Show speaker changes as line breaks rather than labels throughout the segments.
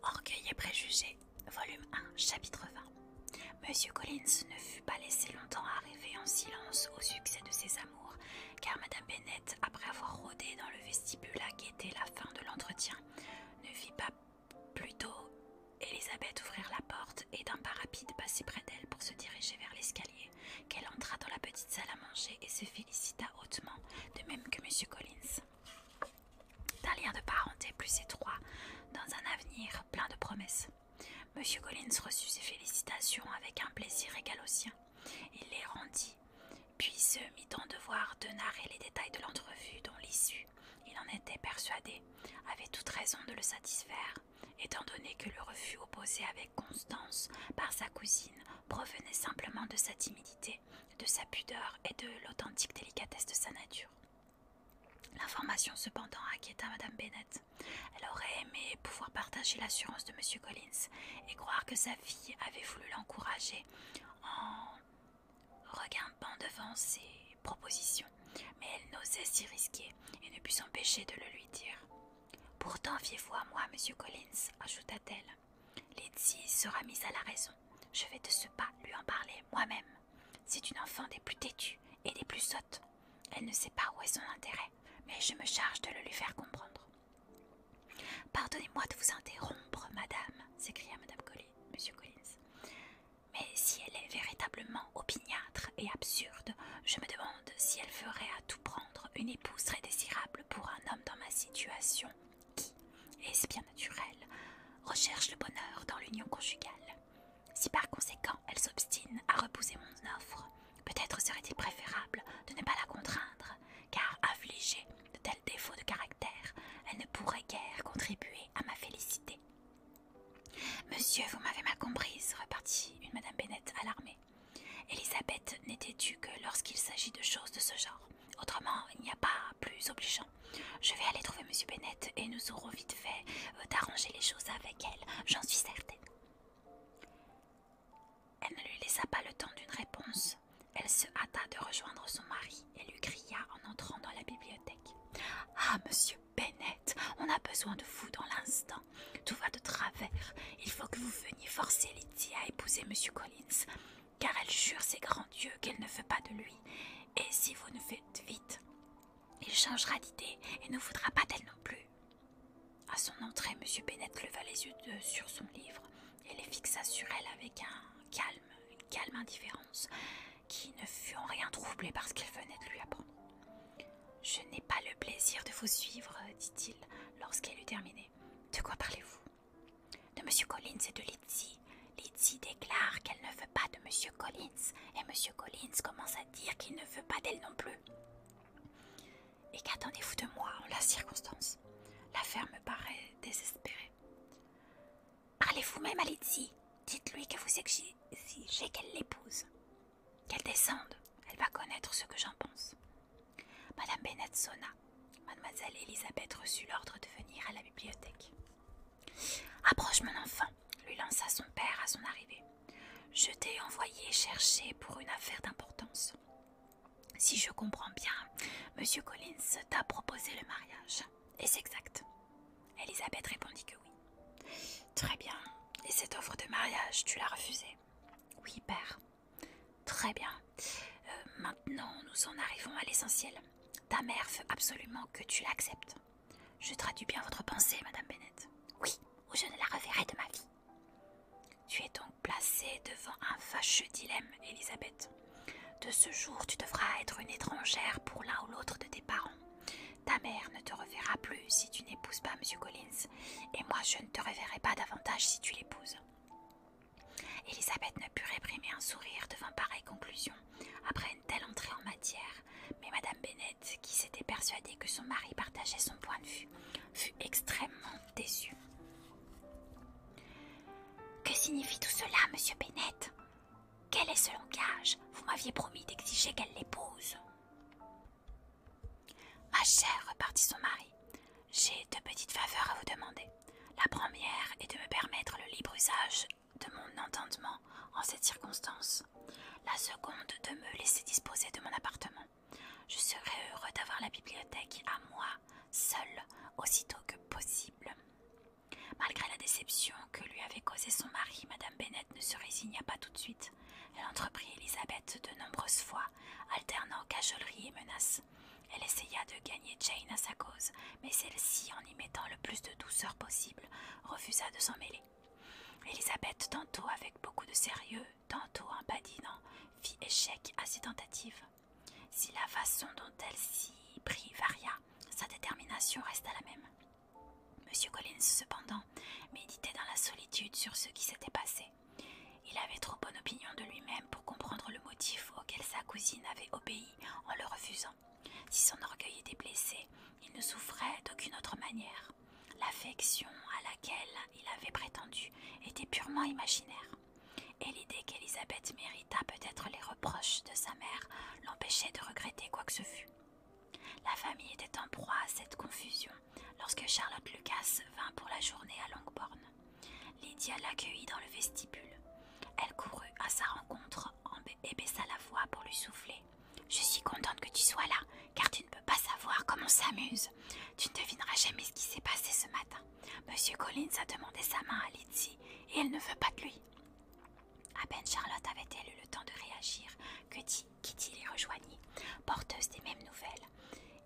Orgueil et préjugés, volume 1, chapitre 20. Monsieur Collins ne fut pas laissé longtemps arriver en silence au succès de ses amours, car Madame Bennett, après avoir rôdé dans le vestibule à guetter la fin de l'entretien, ne vit pas Plutôt, Elisabeth ouvrit la porte et d'un pas rapide passer près d'elle pour se diriger vers l'escalier, qu'elle entra dans la petite salle à manger et se félicita hautement, de même que M. Collins. D'un lien de parenté plus étroit, dans un avenir plein de promesses. M. Collins reçut ses félicitations avec un plaisir égal au sien. Il les rendit, puis se mit en devoir de narrer les détails de l'entrevue dont l'issue il en était persuadé, avait toute raison de le satisfaire, étant donné que le refus opposé avec constance par sa cousine provenait simplement de sa timidité, de sa pudeur et de l'authentique délicatesse de sa nature. L'information cependant inquiéta Madame Bennett. Elle aurait aimé pouvoir partager l'assurance de Monsieur Collins et croire que sa fille avait voulu l'encourager en regardant devant ses propositions, mais elle n'osait s'y risquer et ne put s'empêcher de le lui dire. Pourtant, fiez-vous à moi, monsieur Collins, ajouta-t-elle. Lizzie sera mise à la raison. Je vais de ce pas lui en parler moi-même. C'est une enfant des plus têtues et des plus sottes. Elle ne sait pas où est son intérêt, mais je me charge de le lui faire comprendre. Pardonnez-moi de vous interrompre, madame, s'écria madame monsieur Collins. Mais si elle est véritablement opiniâtre et absurde, je me demande si elle ferait à tout prendre une épouse très désirable pour un homme dans ma situation qui, est-ce bien naturel, recherche le bonheur dans l'union conjugale. Si par conséquent elle s'obstine à repousser mon offre, peut-être serait-il préférable de ne pas la contraindre, car affligée de tels défauts de caractère, elle ne pourrait guère contribuer à ma félicité. Monsieur, vous m'avez mal comprise, repartit une Madame Bennett alarmée. Elisabeth n'était tu que lorsqu'il s'agit de choses de ce genre. Autrement, il n'y a pas plus obligeant. Je vais aller trouver Monsieur Bennett et nous aurons vite fait euh, d'arranger les choses avec elle, j'en suis certaine. Elle ne lui laissa pas le temps d'une réponse. Elle se hâta de rejoindre son mari elle lui cria en entrant dans la bibliothèque. Ah, monsieur Bennett, on a besoin de vous dans l'instant. Tout va de travers. Il faut que vous veniez forcer Lydie à épouser monsieur Collins, car elle jure ses grands dieux qu'elle ne veut pas de lui. Et si vous ne faites vite, il changera d'idée et ne voudra pas d'elle non plus. À son entrée, monsieur Bennett leva les yeux sur son livre et les fixa sur elle avec un calme, une calme indifférence qui ne fut en rien troublé par ce qu'elle venait de lui apprendre. Je n'ai pas le plaisir de vous suivre, dit-il lorsqu'elle eut terminé. De quoi parlez-vous De Monsieur Collins et de Lizzie. Lizzie déclare qu'elle ne veut pas de Monsieur Collins, et Monsieur Collins commence à dire qu'il ne veut pas d'elle non plus. Et qu'attendez-vous de moi en la circonstance L'affaire me paraît désespérée. « vous-même à Lizzie. Dites-lui que vous exigez qu'elle l'épouse. Qu'elle descende. Elle va connaître ce que j'en pense. Madame Bennett sonna. Mademoiselle Elisabeth reçut l'ordre de venir à la bibliothèque. Approche, mon enfant, lui lança son père à son arrivée. Je t'ai envoyé chercher pour une affaire d'importance. Si je comprends bien, Monsieur Collins t'a proposé le mariage. « Et ce exact Elisabeth répondit que oui. Très bien. Et cette offre de mariage, tu l'as refusée Oui, père. Très bien. Euh, maintenant, nous en arrivons à l'essentiel. Ta mère veut absolument que tu l'acceptes. Je traduis bien votre pensée, Madame Bennett. Oui, ou je ne la reverrai de ma vie. Tu es donc placée devant un fâcheux dilemme, Elisabeth. De ce jour, tu devras être une étrangère pour l'un ou l'autre de tes parents. Ta mère ne te reverra plus si tu n'épouses pas M. Collins, et moi je ne te reverrai pas davantage si tu l'épouses. Elisabeth ne put réprimer un sourire devant pareille conclusion, après une telle entrée en matière, mais Madame Bennett, qui s'était persuadée que son mari partageait son point de vue, fut extrêmement déçue. Que signifie tout cela, monsieur Bennett quel est ce langage Vous m'aviez promis d'exiger qu'elle l'épouse. Ma chère, repartit son mari, j'ai deux petites faveurs à vous demander. La première est de me permettre le libre usage de mon entendement en cette circonstance. La seconde de me laisser disposer de mon appartement. Je serai heureux d'avoir la bibliothèque à moi, seule, aussitôt que possible. Malgré la déception que lui avait causée son mari, Madame Bennett ne se résigna pas tout de suite. Elle entreprit Elisabeth de nombreuses fois, alternant cajoleries et menaces. Elle essaya de gagner Jane à sa cause, mais celle-ci, en y mettant le plus de douceur possible, refusa de s'en mêler. Elisabeth, tantôt avec beaucoup de sérieux, tantôt en badinant, fit échec à ses tentatives. Si la façon dont elle s'y prit varia, sa détermination resta la même. Monsieur Collins, cependant, méditait dans la solitude sur ce qui s'était passé. Il avait trop bonne opinion de lui-même pour comprendre le motif auquel sa cousine avait obéi en le refusant. Si son orgueil était blessé, il ne souffrait d'aucune autre manière. L'affection à laquelle il avait prétendu était purement imaginaire et l'idée qu'Elisabeth mérita peut-être les reproches de sa mère l'empêchait de regretter quoi que ce fût. La famille était en proie à cette confusion lorsque Charlotte Lucas vint pour la journée à Longbourn. Lydia l'accueillit dans le vestibule. Elle courut à sa rencontre et baissa la voix pour lui souffler. Je suis contente que tu sois là, car tu ne peux pas savoir comment s'amuse. Tu ne devineras jamais ce qui s'est passé ce matin. Monsieur Collins a demandé sa main à Lizzie et elle ne veut pas de lui. À peine Charlotte avait-elle eu le temps de réagir que Kitty les rejoignit, porteuse des mêmes nouvelles.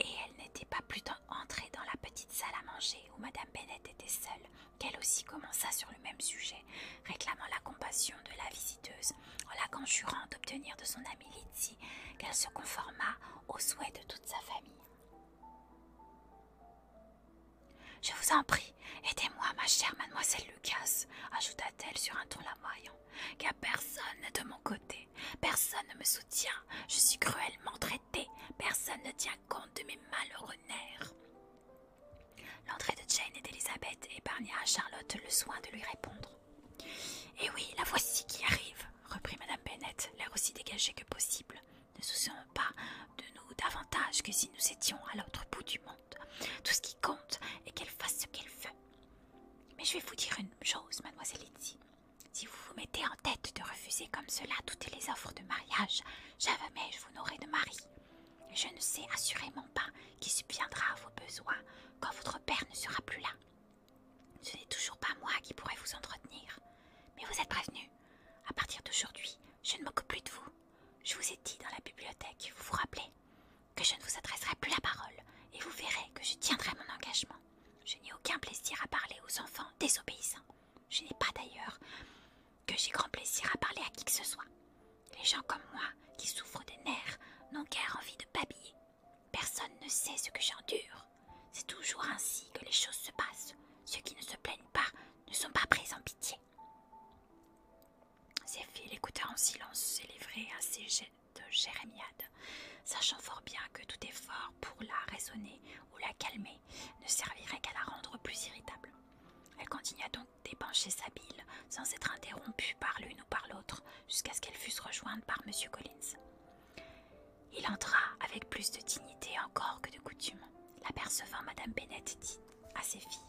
Et elle n'était pas plus entrée dans la petite salle à manger où Madame Bennett était seule qu'elle aussi commença sur le même sujet, réclamant la compassion de la visiteuse en la conjurant d'obtenir de son amie Lizzie qu'elle se conformât aux souhaits de toute sa famille. Je vous en prie, aidez-moi, ma chère mademoiselle Lucas, ajouta-t-elle sur un ton lamoyant, car personne de mon côté, personne ne me soutient, je suis cruellement traitée, personne ne tient compte de mes malheureux nerfs. L'entrée de Jane et d'Elisabeth épargna à Charlotte le soin de lui répondre. Eh oui, la voici qui arrive, reprit Madame Bennett, l'air aussi dégagée que possible ne soucions pas de nous davantage que si nous étions à l'autre bout du monde. Tout ce qui compte est qu'elle fasse ce qu'elle veut. Mais je vais vous dire une chose, mademoiselle Lindsay. Si vous vous mettez en tête de refuser comme cela toutes les offres de mariage, jamais je vous n'aurai de mari. Je ne sais assurément pas qui subviendra à vos besoins quand votre père ne sera plus là. Ce n'est toujours pas moi qui pourrai vous entretenir. Mais vous êtes prévenu. À partir d'aujourd'hui, je ne m'occupe plus de vous. Je vous ai dit dans la bibliothèque, vous vous rappelez, que je ne vous adresserai plus la parole, et vous verrez que je tiendrai mon engagement. Je n'ai aucun plaisir à parler aux enfants désobéissants. Je n'ai pas d'ailleurs que j'ai grand plaisir à parler à qui que ce soit. Les gens comme moi, qui souffrent des nerfs, n'ont guère envie de babiller. Personne ne sait ce que j'endure. C'est toujours ainsi que les choses se passent. Ceux qui ne se plaignent pas ne sont pas prises en pitié. Zéphie l'écouta en silence ses à ses jets de jérémiade, sachant fort bien que tout effort pour la raisonner ou la calmer ne servirait qu'à la rendre plus irritable. Elle continua donc d'épancher sa bile sans être interrompue par l'une ou par l'autre jusqu'à ce qu'elle fût rejointe par M. Collins. Il entra avec plus de dignité encore que de coutume. L'apercevant, Madame Bennett dit à ses filles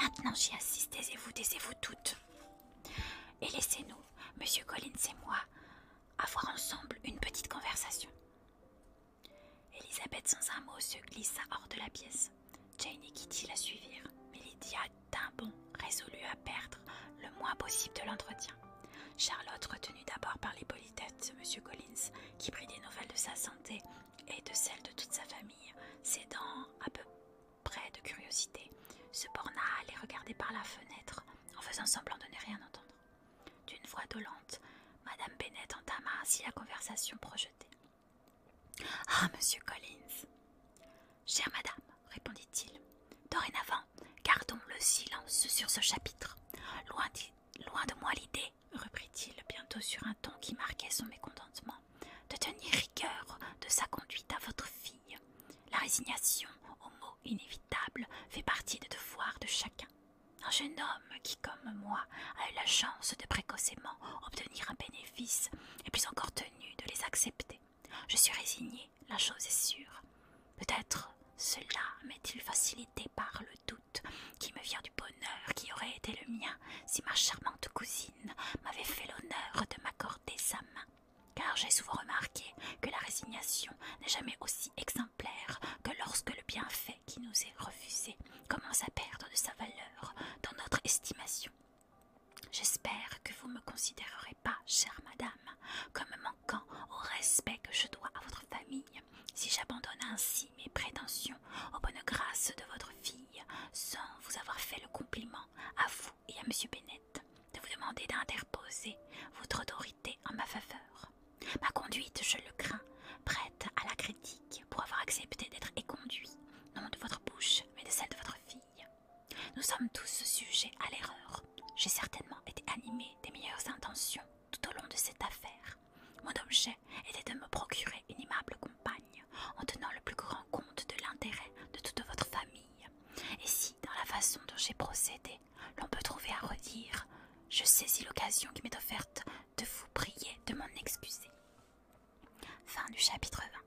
Maintenant j'y assiste, vous taisez-vous toutes. Et laissez-nous, Monsieur Collins et moi, avoir ensemble une petite conversation. Elisabeth, sans un mot, se glissa hors de la pièce. Jane et Kitty la suivirent, mais Lydia d'un bond résolut à perdre le moins possible de l'entretien. Charlotte, retenue d'abord par les politesses, Monsieur Collins, qui prit des nouvelles de sa santé et de celle de toute sa famille, s'aidant à peu près de curiosité, se borna à les regarder par la fenêtre en faisant semblant de ne rien entendre. D'une voix dolente, Madame Bennett entama ainsi la conversation projetée. Ah, monsieur Collins Chère madame, répondit-il, dorénavant, gardons le silence sur ce chapitre. Loin loin de moi l'idée reprit-il bientôt sur un ton qui marquait son mécontentement, de tenir rigueur de sa conduite à votre fille. La résignation aux mots inévitables fait partie des devoirs de chacun. Un jeune homme qui, comme moi, a eu la chance de précocement obtenir un bénéfice est plus encore tenu de les accepter. Je suis résigné, la chose est sûre. Peut-être cela m'est-il facilité par le doute qui me vient du bonheur qui aurait été le mien si ma charmante cousine m'avait fait l'honneur de m'accorder sa main, car j'ai souvent remarqué que la résignation n'est jamais aussi exemplaire que lorsque le bienfait qui nous est refusé commence à perdre de sa valeur dans notre estimation. J'espère que vous ne me considérerez pas, chère madame, comme au respect que je dois à votre famille, si j'abandonne ainsi mes prétentions aux bonnes grâces de votre fille, sans vous avoir fait le compliment à vous et à Monsieur Bennett de vous demander d'interposer votre autorité en ma faveur. Ma conduite, je le crains, prête à la critique pour avoir accepté d'être éconduit, non de votre bouche, mais de celle de votre fille. Nous sommes tous sujets à l'erreur. J'ai certainement été animé des meilleures intentions tout au long de cette affaire. Mon objet était de me procurer une aimable compagne, en tenant le plus grand compte de l'intérêt de toute votre famille. Et si, dans la façon dont j'ai procédé, l'on peut trouver à redire, je saisis l'occasion qui m'est offerte de vous prier de m'en excuser. Fin du chapitre 20.